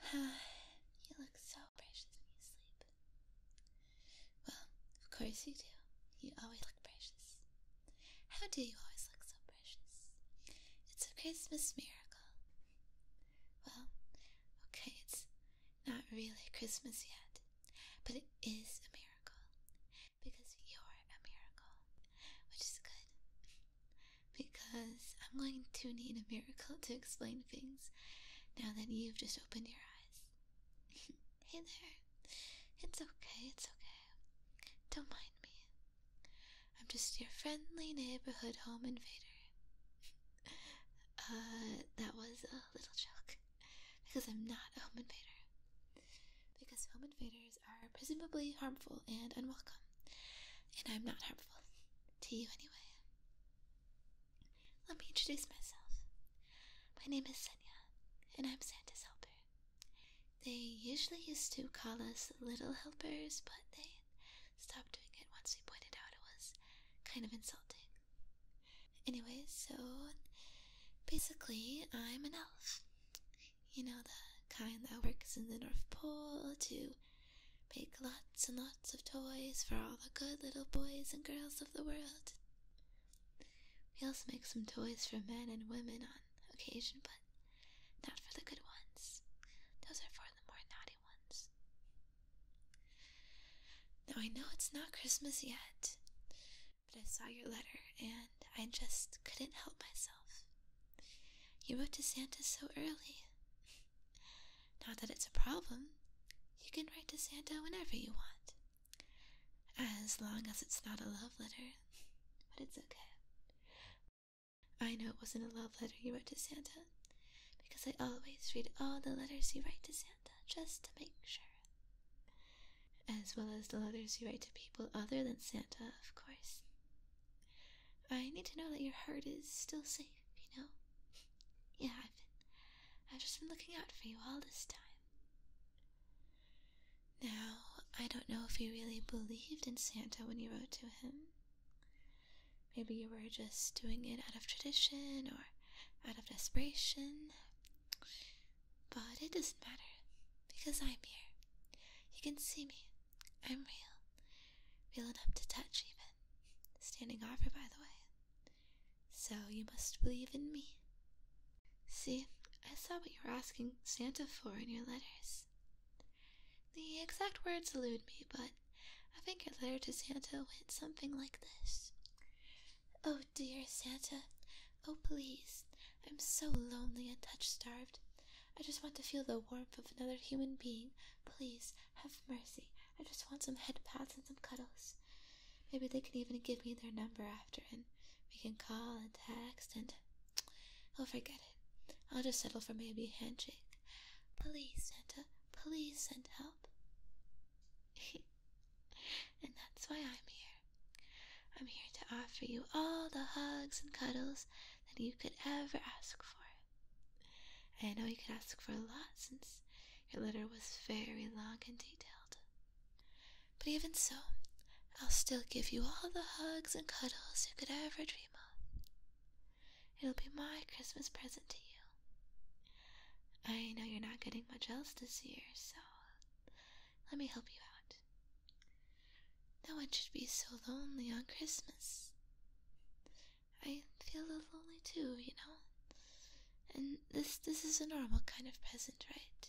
you look so precious when you sleep. Well, of course you do. You always look precious. How do you always look so precious? It's a Christmas miracle. Well, okay, it's not really Christmas yet, but it is a miracle because you're a miracle, which is good because I'm going to need a miracle to explain things now that you've just opened your eyes. hey there. It's okay, it's okay. Don't mind me. I'm just your friendly neighborhood home invader. uh, that was a little joke. Because I'm not a home invader. Because home invader are presumably harmful and unwelcome. And I'm not harmful. To you, anyway. Let me introduce myself. My name is Senya, and I'm Santa's helper. They usually used to call us little helpers, but they stopped doing it once we pointed out it was kind of insulting. Anyway, so basically, I'm an elf. You know, the kind that works in the North Pole to make lots and lots of toys for all the good little boys and girls of the world. We also make some toys for men and women on occasion, but not for the good ones. Those are for the more naughty ones. Now, I know it's not Christmas yet, but I saw your letter and I just couldn't help myself. You wrote to Santa so early. Not that it's a problem. You can write to Santa whenever you want. As long as it's not a love letter. But it's okay. I know it wasn't a love letter you wrote to Santa, because I always read all the letters you write to Santa just to make sure. As well as the letters you write to people other than Santa, of course. I need to know that your heart is still safe, you know? yeah, I've been. I've just been looking out for you all this time. Now, I don't know if you really believed in Santa when you wrote to him. Maybe you were just doing it out of tradition or out of desperation. But it doesn't matter because I'm here. You can see me. I'm real. Real enough to touch, even. Standing offer, by the way. So you must believe in me. See, I saw what you were asking Santa for in your letters. The exact words elude me, but I think your letter to Santa went something like this Oh, dear Santa, oh, please, I'm so lonely and touch starved. I just want to feel the warmth of another human being. Please, have mercy. I just want some head pats and some cuddles. Maybe they can even give me their number after, and we can call and text, and I'll oh, forget it. I'll just settle for maybe a handshake. Please, Santa, uh, please send help. and that's why I'm here. I'm here to offer you all the hugs and cuddles that you could ever ask for. I know you could ask for a lot since your letter was very long and detailed. But even so, I'll still give you all the hugs and cuddles you could ever dream of. It'll be my Christmas present to you. I know you're not getting much else this year, so let me help you out. No one should be so lonely on Christmas. I feel lonely too, you know? And this this is a normal kind of present, right?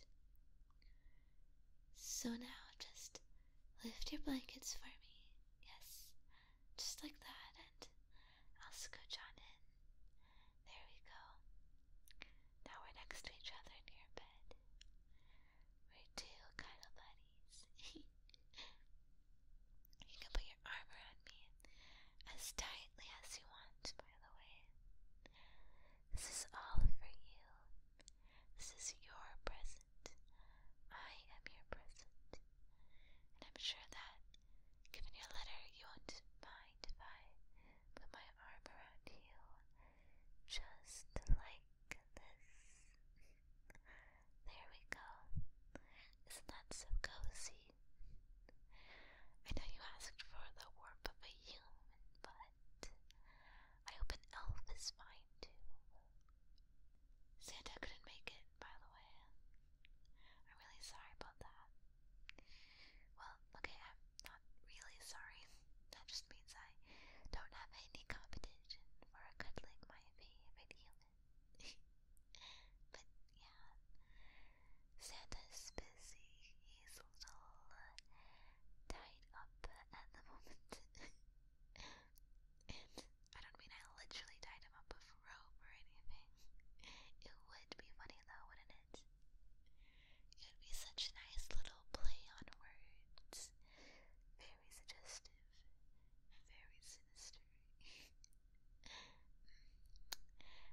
So now just lift your blankets for me. Yes. Just like that and I'll scooch on in. There we go. Now we're next to each other in your bed. We're kind of buddies. you can put your arm around me as tightly as you want, by the way. This is all for you. This is your present. I am your present. And I'm sure that, given your letter, you won't mind if I put my arm around you just like this. There we go. Isn't that so cozy? I know you asked for the warmth of a human, but I hope an elf is fine too. Santa couldn't make it, by the way. I'm really sorry about that. Well, okay, I'm not really sorry. That just means I don't have any competition for cuddling my favorite human. but yeah, Santa's busy. He's a little uh, tied up at the moment. I don't mean I literally tied him up with rope or anything. It would be funny though, wouldn't it? It would be such a nice little play on words. Very suggestive. Very sinister.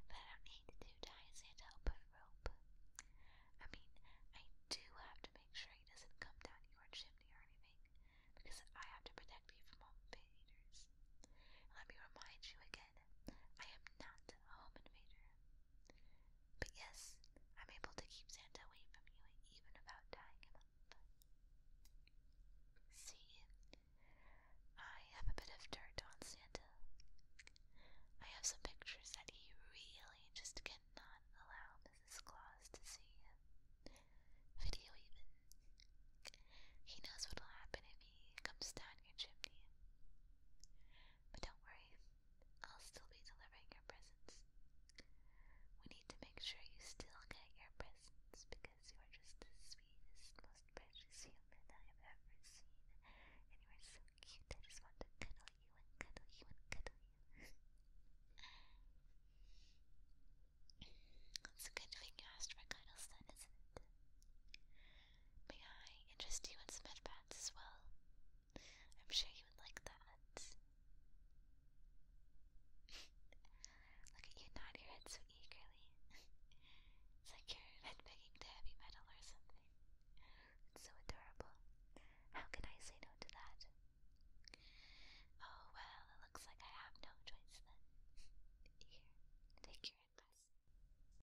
but I don't need to tie Santa up with rope. I mean, I do have to make sure he doesn't come down your chimney or anything, because I have to protect you from all invaders. let me remind you again, I am not a home invader. But yes, I'm able to keep Santa away from you even about dying. See, I have a bit of dirt on Santa. I have some pictures that he really just cannot allow Mrs. Claus to see. Video even. He knows what'll happen if he comes down your chimney. But don't worry, I'll still be delivering your presents. We need to make sure you still get your presents because you are just the sweetest, most precious human I have ever seen. And you are so cute, I just want to cuddle you and cuddle you and cuddle you. it's a good thing you asked for cuddles then, isn't it? May I interest you in some headbands as well? I'm sure you would like that. Look at you nod your head so eagerly. it's like you're headbanging to heavy metal or something. It's so adorable. How can I say no to that? Oh well, it looks like I have no choice then. Here, take your advice.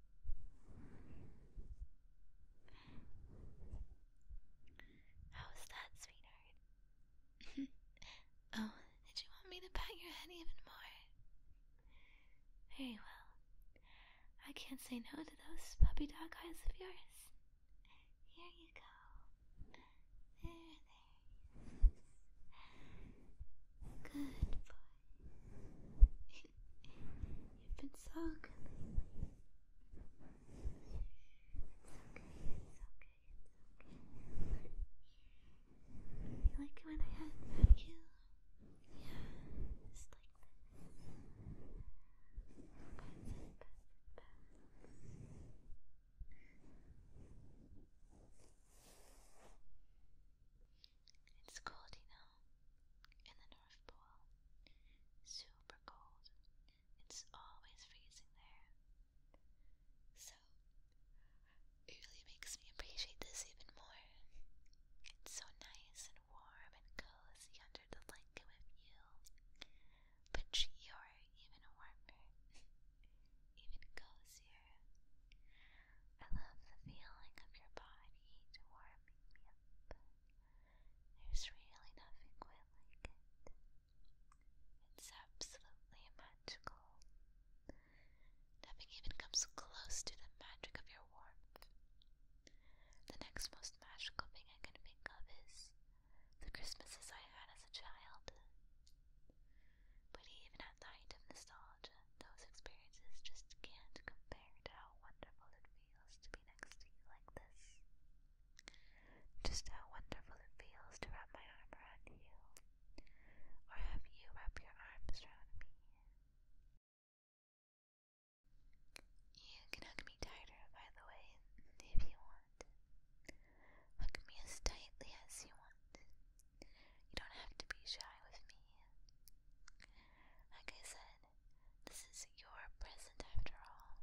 How was that, sweetheart? oh, did you want me to pat your head even more? Very well. I can't say no to those puppy dog eyes of yours. Here you go. There, there. Good boy. You've been so good It's okay, it's okay, okay. You like when I headbutt you? Yeah, just like this. Pass it's cold, you know, in the North Pole. Super cold. It's always freezing there. So, it really makes me appreciate this even more. It's so nice and warm and cozy under the blanket with you. But you're even warmer. even cozier. I love the feeling of your body warming me up. There's really nothing quite like it. It's absolutely magical. Nothing even comes close to the magic of your warmth. The next most magical thing I can think of is the Christmases I had as a child. But even at the height of nostalgia, those experiences just can't compare to how wonderful it feels to be next to you like this. Just how wonderful it feels to wrap my arm around you, or have you wrap your arms around me. You can hug me tighter, by the way, if you want. Hug me as tightly as you want. You don't have to be shy with me. Like I said, this is your present after all.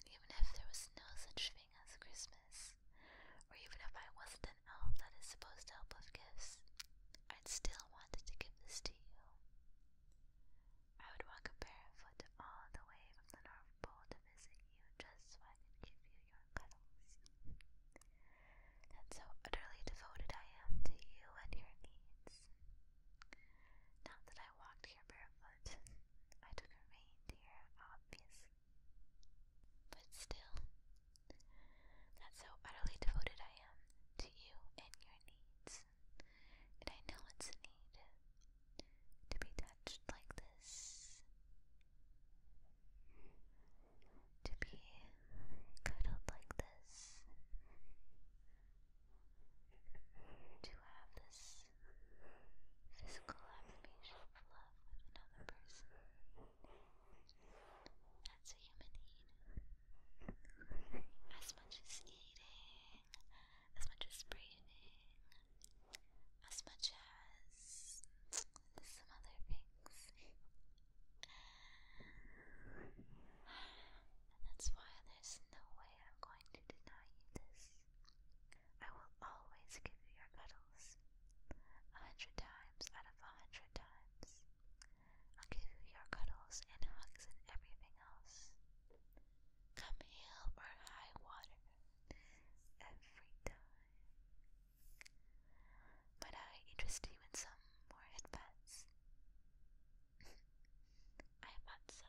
And even if there was no such thing as Christmas, or even if I wasn't an elf that is supposed to help with gifts, I'd still wanted to give this to you. I would walk a barefoot all the way from the North Pole to visit you just so I give you that's how utterly devoted I am to you and your needs. Not that I walked here barefoot, I took a reindeer, obviously. But still, that's how utterly devoted I am to you and your needs. And I know it's a need to be touched like this to be cuddled like this, to have this physical affirmation of love with another person. That's a human need. As much as eating, as much as breathing, as much as some other things. and that's why there's no way I'm going to deny you this. I will always give you your medals. A hundred times out of a hundred times. I'll give you your cuddles and hugs and everything else. Come hell or high water. Every time. Might I interest you in some more advice? I thought so.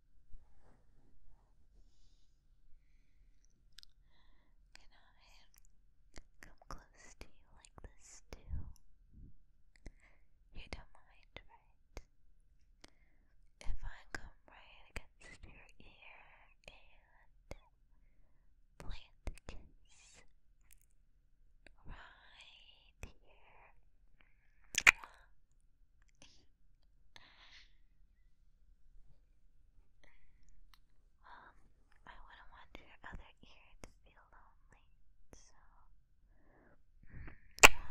Can I come close to you like this too? You don't mind, right? If I come right against your ear and plant a kiss right dear. Um, I wouldn't want your other ear to feel lonely, so. You know, a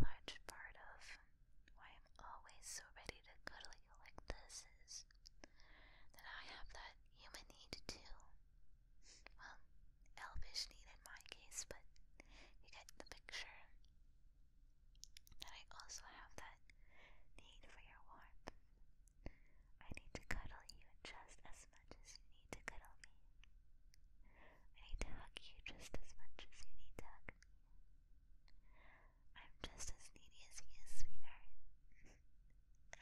large part of why I'm always so ready to cuddle you like this is that I have that human need too. Well, elvish need in my case, but you get the picture. That I also have that need for your warmth. I need to cuddle you just as much as you need to cuddle me. I need to hug you just as much as you need to hug me. I'm just as needy as he is, sweetheart.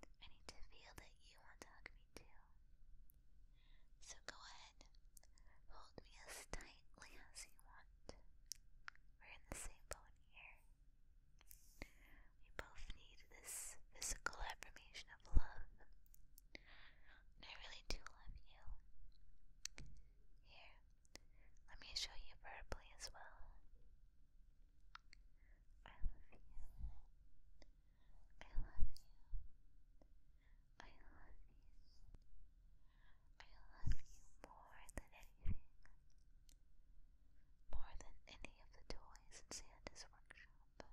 I need to feel that you want to hug me too. So go ahead, hold me as tightly as you want. We're in the same boat here. We both need this physical affirmation of love. I really do love you. Here, let me show you verbally as well. I love you. I love you. I love you. I love you more than anything. More than any of the toys in Santa's workshop.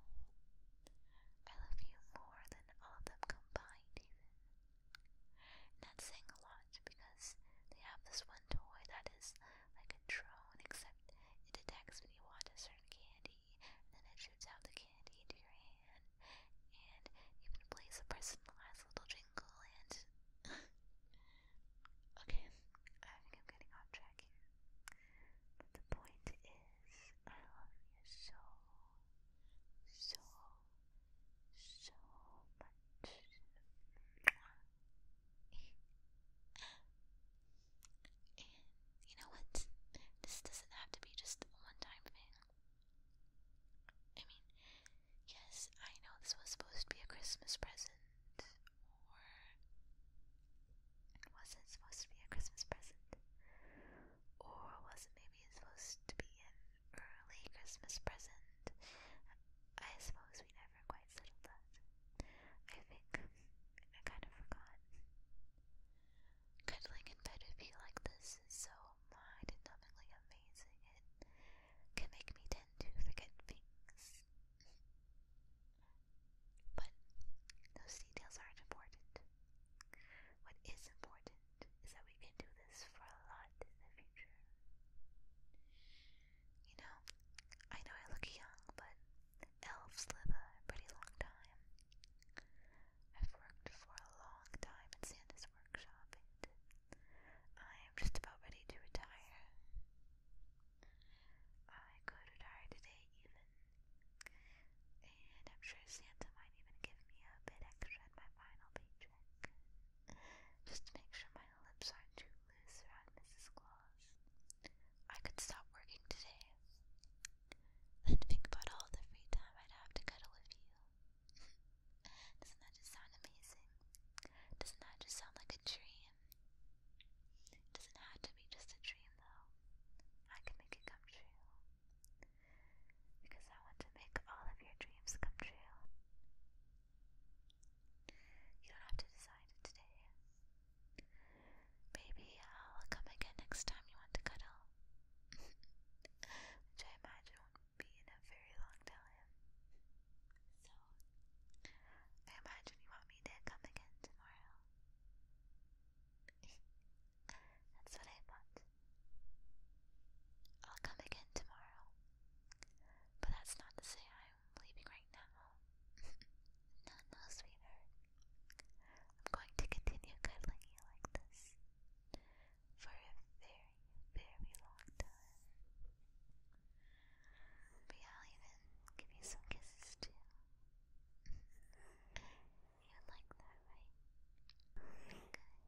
I love you more than all of them combined, not saying a lot because they have this one toy that is like a drone, except it detects when you want a certain candy, and then it shoots out the candy into your hand, and even plays a personalized little jingle. And okay, I think I'm getting off track here. But the point is, I love you so, so, so much. And you know what? This doesn't have to be just a one time thing. I mean, yes, I know this was supposed to be a Christmas present, or it wasn't supposed to be a Christmas present, or was it maybe supposed to be an early Christmas present. I suppose we never quite settled that. I think I kind of forgot. Cuddling in bed would be like this is so mind numbingly amazing. It can make me tend to forget things. But those details aren't important. What is important is that we can do this for a lot in the future. You know, I know I look young, but elves live a pretty long time. I've worked for a long time at Santa's workshop, and I am just about ready to retire. I could retire today, even, and I'm sure Santa might even give me a bit extra at my final paycheck just make sure my lips aren't Mrs. Claus. I could stop working today. Then think about all the free time I'd have to cuddle with you. Doesn't that just sound amazing? Doesn't that just sound like a dream? doesn't have to be just a dream, though. I can make it come true because I want to make all of your dreams come true. You don't have to decide today. Maybe I'll come again next time you want to cuddle, which I imagine won't be in a very long time. So, I imagine you want me to come again tomorrow. That's what I thought. I'll come again tomorrow. But that's not to say I'm leaving right now. no, no, sweetheart. I'm going to continue cuddling you like this for a very, very long time. But I'll even give you some kisses too. you like that, right? Good.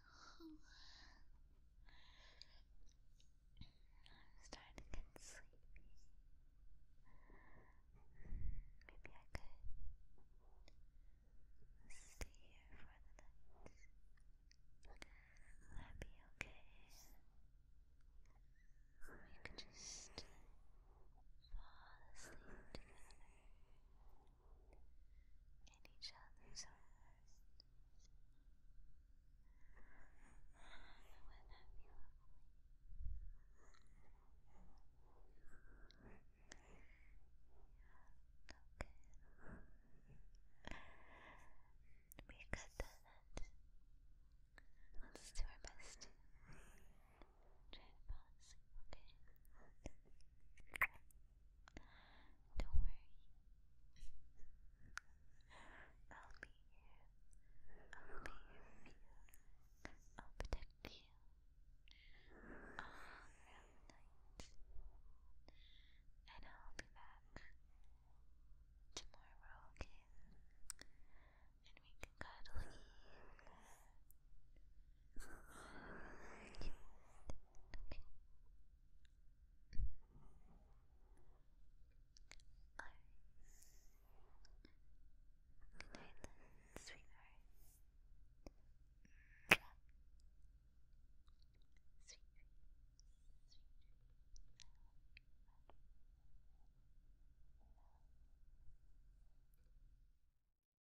I'm starting to get sleepy. Maybe I could stay here for the night. Will be okay? We could just fall asleep together in each other's arms. Wouldn't that Okay. We got that. Let's do our best to try to fall asleep, okay? Don't worry. I'll be here. I'll be here you. I'll protect you. All around the night. And I'll be back tomorrow, okay? And we can cuddle Okay. Alright. Good night then, sweetheart. Sweet, sweet, sweet.